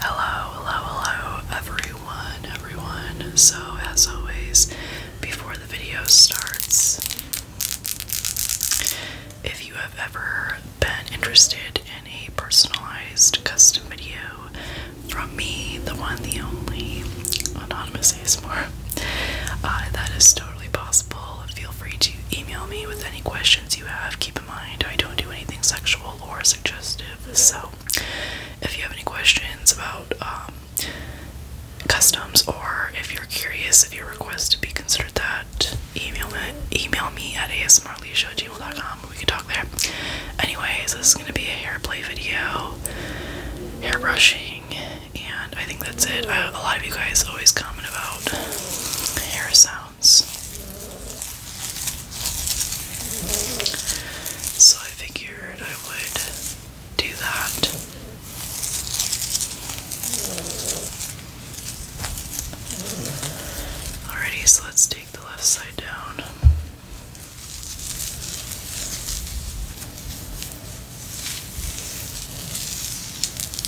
Hello, hello, hello, everyone, everyone. So, as always, before the video starts, if you have ever been interested in a personalized custom video from me, the one, the only, Anonymous ASMR, uh, that is totally possible. Feel free to email me with any questions you have. Keep in mind, I don't do anything sexual or suggestive, so if you have any questions about um, customs or if you're curious if you request to be considered that, email me, email me at asmrleisha@gmail.com. We can talk there. Anyways, this is gonna be a hair play video, hair brushing, and I think that's it. Uh, a lot of you guys always comment about hair sounds so I figured I would do that. Alrighty, so let's take the left side down.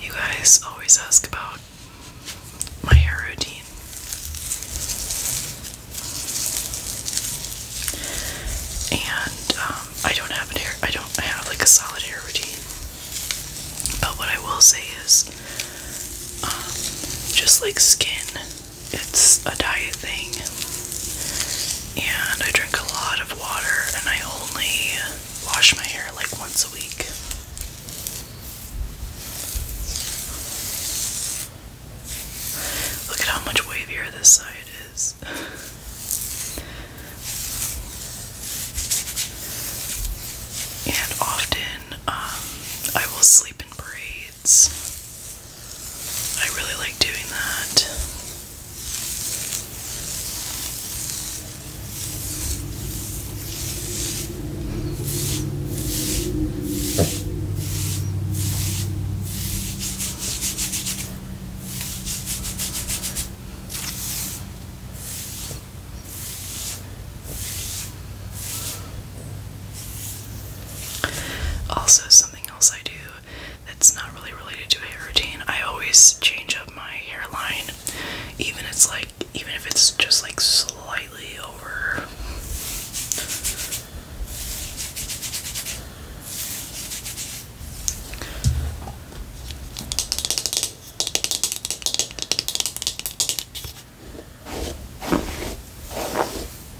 You guys always ask about my hair routine. And um, I don't have an hair, I don't have like a solid hair routine. But what I will say is, um, just like skin, it's a diet thing and I drink a lot of water, and I only wash my hair like once a week. Look at how much wavier this side is. And often um, I will sleep in braids I really like doing that. Also, something else I do that's not really related to a hair routine. I always change up my hairline, even it's like even if it's just like slightly over.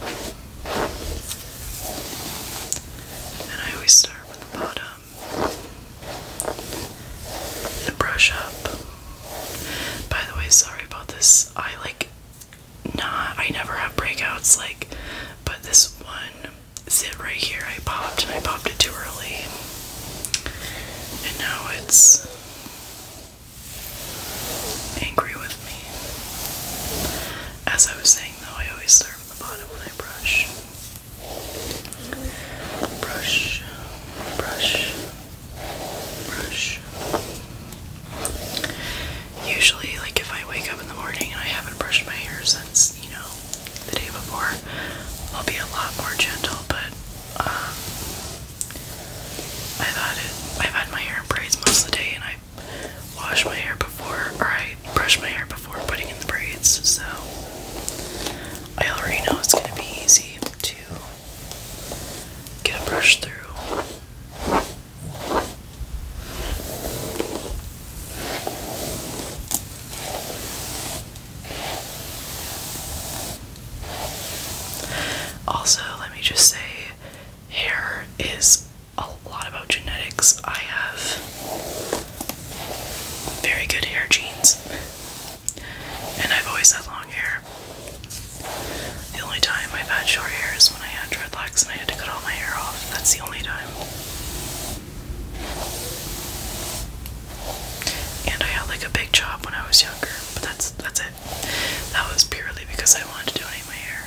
And I always start with the bottom and brush up. By the way, sorry about this. I like not, I never have breakouts, like, but this one zit right here I popped and I popped it too early. And now it's angry with me. As I was saying though, I always start the bottom when I brush. Brush, brush, brush. Usually, like if I wake up in the morning and I haven't brushed my hair since, you know, the day before, I'll be a lot more gentle, but um, I've had it, I've had my hair braids most of the day and I've wash my hair before, or I brush my hair before putting in the braids, so I already know it's going to be easy to get a brush through. Also, let me just say, hair is a lot about genetics. I have very good hair genes, and I've always had long hair. The only time I've had short hair is when I had dreadlocks and I had to cut all my hair off. That's the only time. And I had like a big chop when I was younger, but that's that's it. That was purely because I wanted to donate my hair.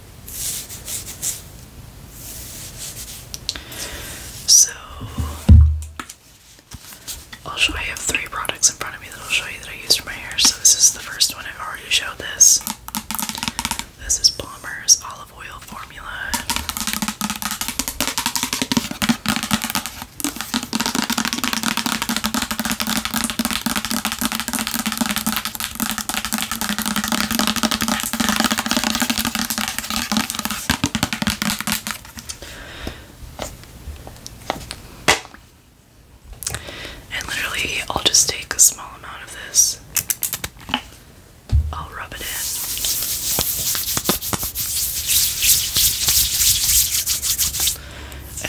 So I'll show you three products in front of me that I'll show you that I used for my hair. So this is the first one. i already showed this. This is Palmer's olive oil formula. And literally, I'll just take a small amount of this, I'll rub it in.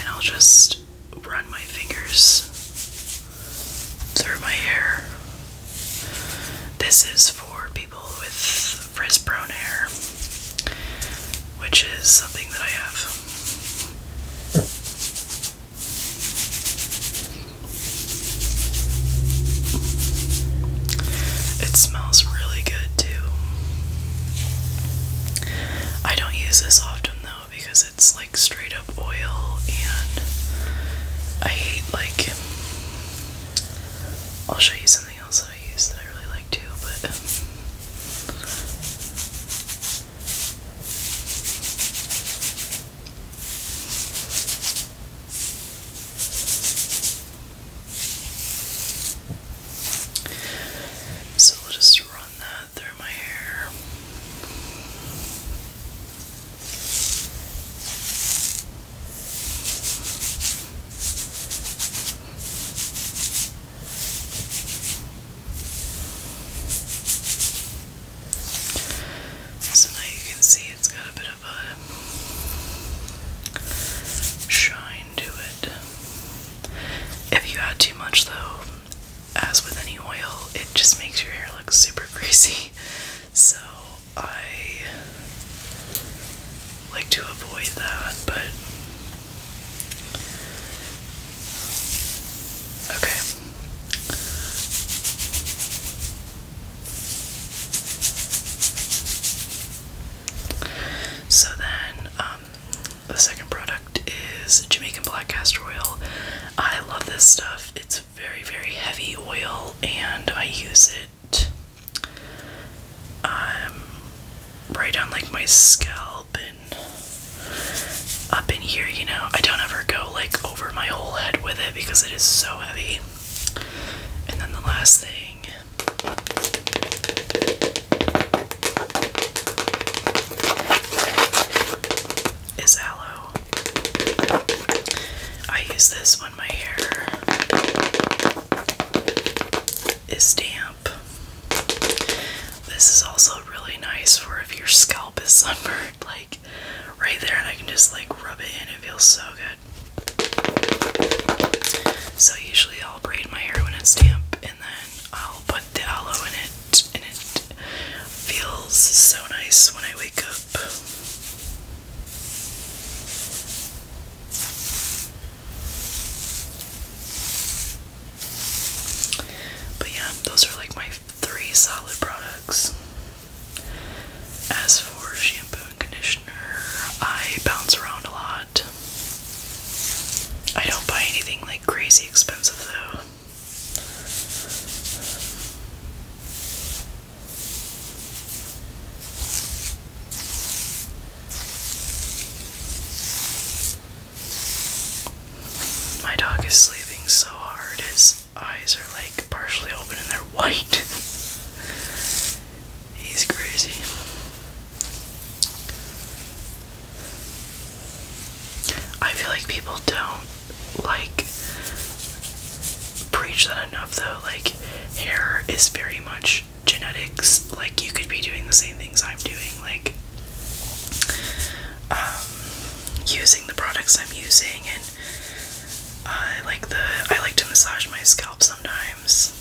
And I'll just run my fingers through my hair. This is for people with frizz brown hair, which is something that I have. It smells really good too. I don't use this often though because it's like straight up oil and I hate like I'll show you something else that I use that I really like too, but so we'll just run through my hair. So now you can see it's got a bit of a shine to it. If you add too much, though, as with any oil, it just makes your hair look super greasy. So I like to avoid that, but okay. So then, um, the second product is Jamaican black castor oil. I love this stuff. It's very, very heavy oil, and I use it um, right on like my scalp and up in here. You know, I don't ever go like over my whole head with it because it is so heavy. And then the last thing is aloe. I use this when my hair is damp. This is also really nice for if your scalp is sunburned, like right there, and I can just like rub it in. It feels so good. So, usually, I'll braid my hair when it's damp and then I'll put put the aloe in it, and it feels so nice when I wake up. But yeah, those are like my three solid products. As for shampoo and conditioner, I bounce around a lot. I don't buy anything like crazy expensive though. My dog is sleeping so hard, his eyes are like partially open and they're white. He's crazy. I feel like people don't like preach that enough though. Like, hair is very much genetics. Like, you could be doing the same things I'm doing. Like, um, using the products I'm using, and uh, like the I like to massage my scalp sometimes.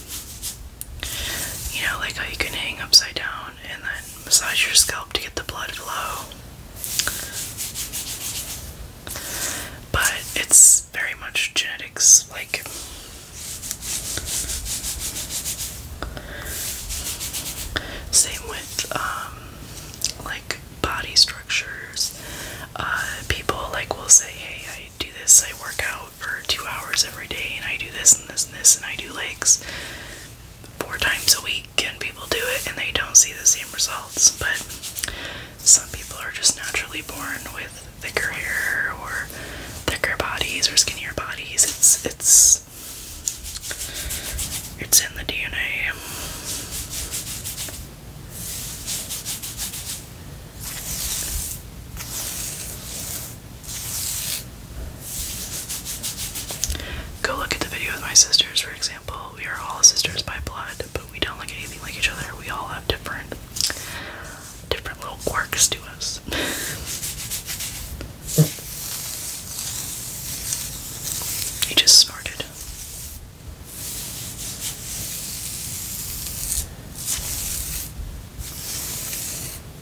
You know, like how you can hang upside down and then massage your scalp to get the blood flow. But it's very much genetics, like. Same with, um, like body structures. Uh, people like will say, "Hey, I do this. I work out for two hours every day, and I do this and this and this, and I do legs." four times a week and people do it and they don't see the same results. But some people are just naturally born with thicker hair or thicker bodies or skinnier bodies. It's it's it's in the DNA. Go look at the video with my sisters, for example. We are all sisters by blood, but we don't look anything like each other. We all have different different little quirks to us. he just snorted.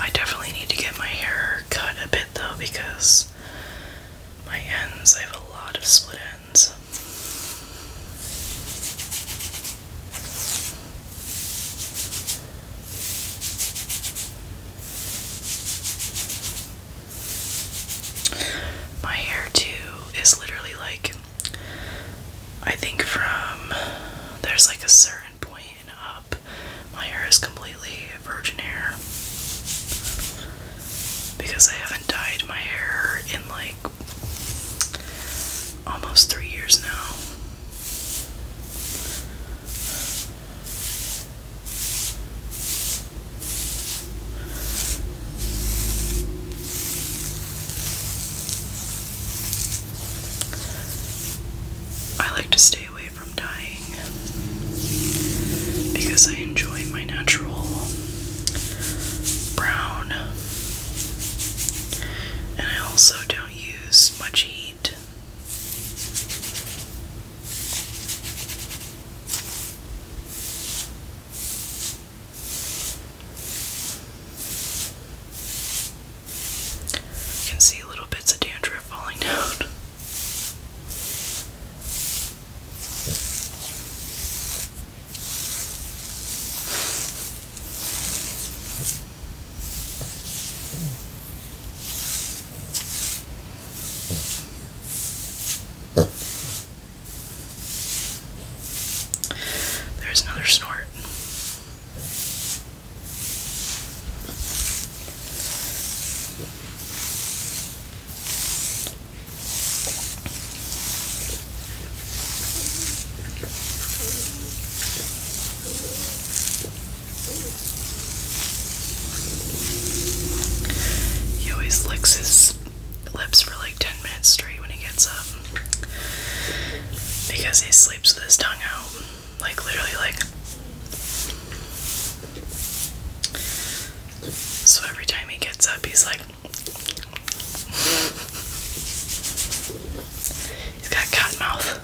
I definitely need to get my hair cut a bit though because my ends, I have a lot of split ends. My hair, too, is literally like I think from there's like a certain point and up, my hair is completely virgin hair because I haven't dyed my hair in like almost three years now. I like to stay away from dying because I enjoy my natural brown and I also don't use much heat you can see little bits of dandruff falling down. There's another snort. He always licks his lips for like 10 minutes straight when he gets up because he sleeps with his tongue out. Like, literally, like. So every time he gets up, he's like. he's got cat mouth.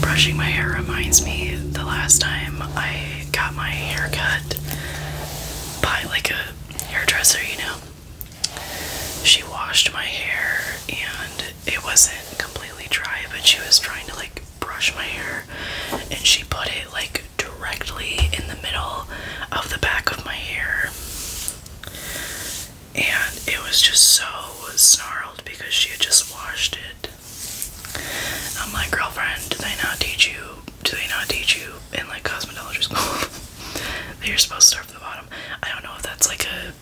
Brushing my hair reminds me the last time I got my hair cut by like a hairdresser, you know she washed my hair and it wasn't completely dry, but she was trying to like brush my hair and she put it like directly in the middle of the back of my hair. And it was just so snarled because she had just washed it. I'm like, girlfriend, do they not teach you? Do they not teach you in like cosmetology school? that you're supposed to start from the bottom? I don't know if that's like a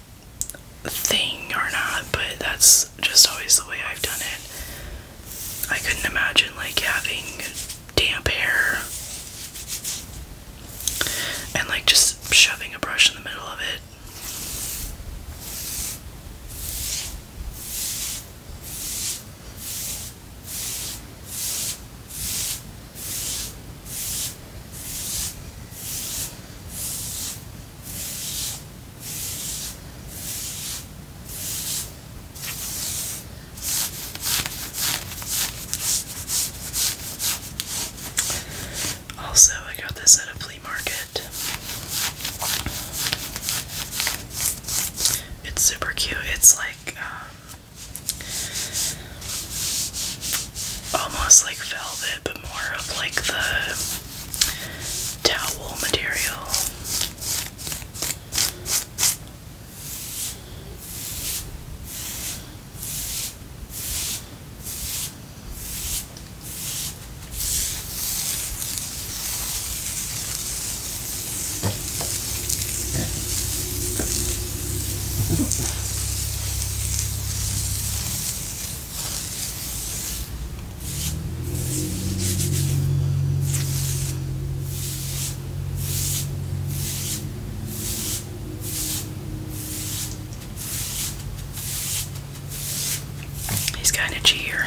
thing or not, but that's just always the way I've done it. I couldn't imagine like having damp hair and like just shoving a brush in the middle of it. Also, I got this at a flea market. It's super cute. It's like um, almost like velvet, but more of like the towel material. He's kind of cheer.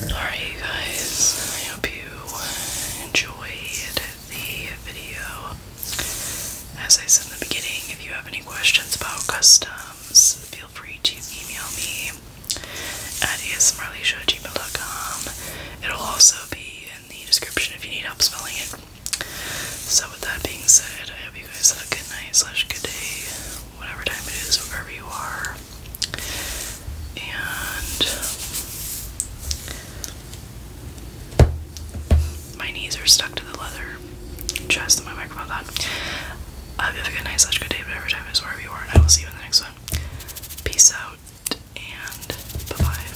Alright, you guys, I hope you enjoyed the video. As I said in the beginning, if you have any questions about customs, feel free to email me at asmrleisha.gmail.com. It'll also be in the description if you need help spelling it. So with that being said, I hope you guys have a good night slash good day, whatever time it is, wherever you are. And my knees are stuck to the leather chest of my microphone I hope you have a good night slash good day, whatever time it is, wherever you are, and I will see you in the next one. Peace out and bye bye.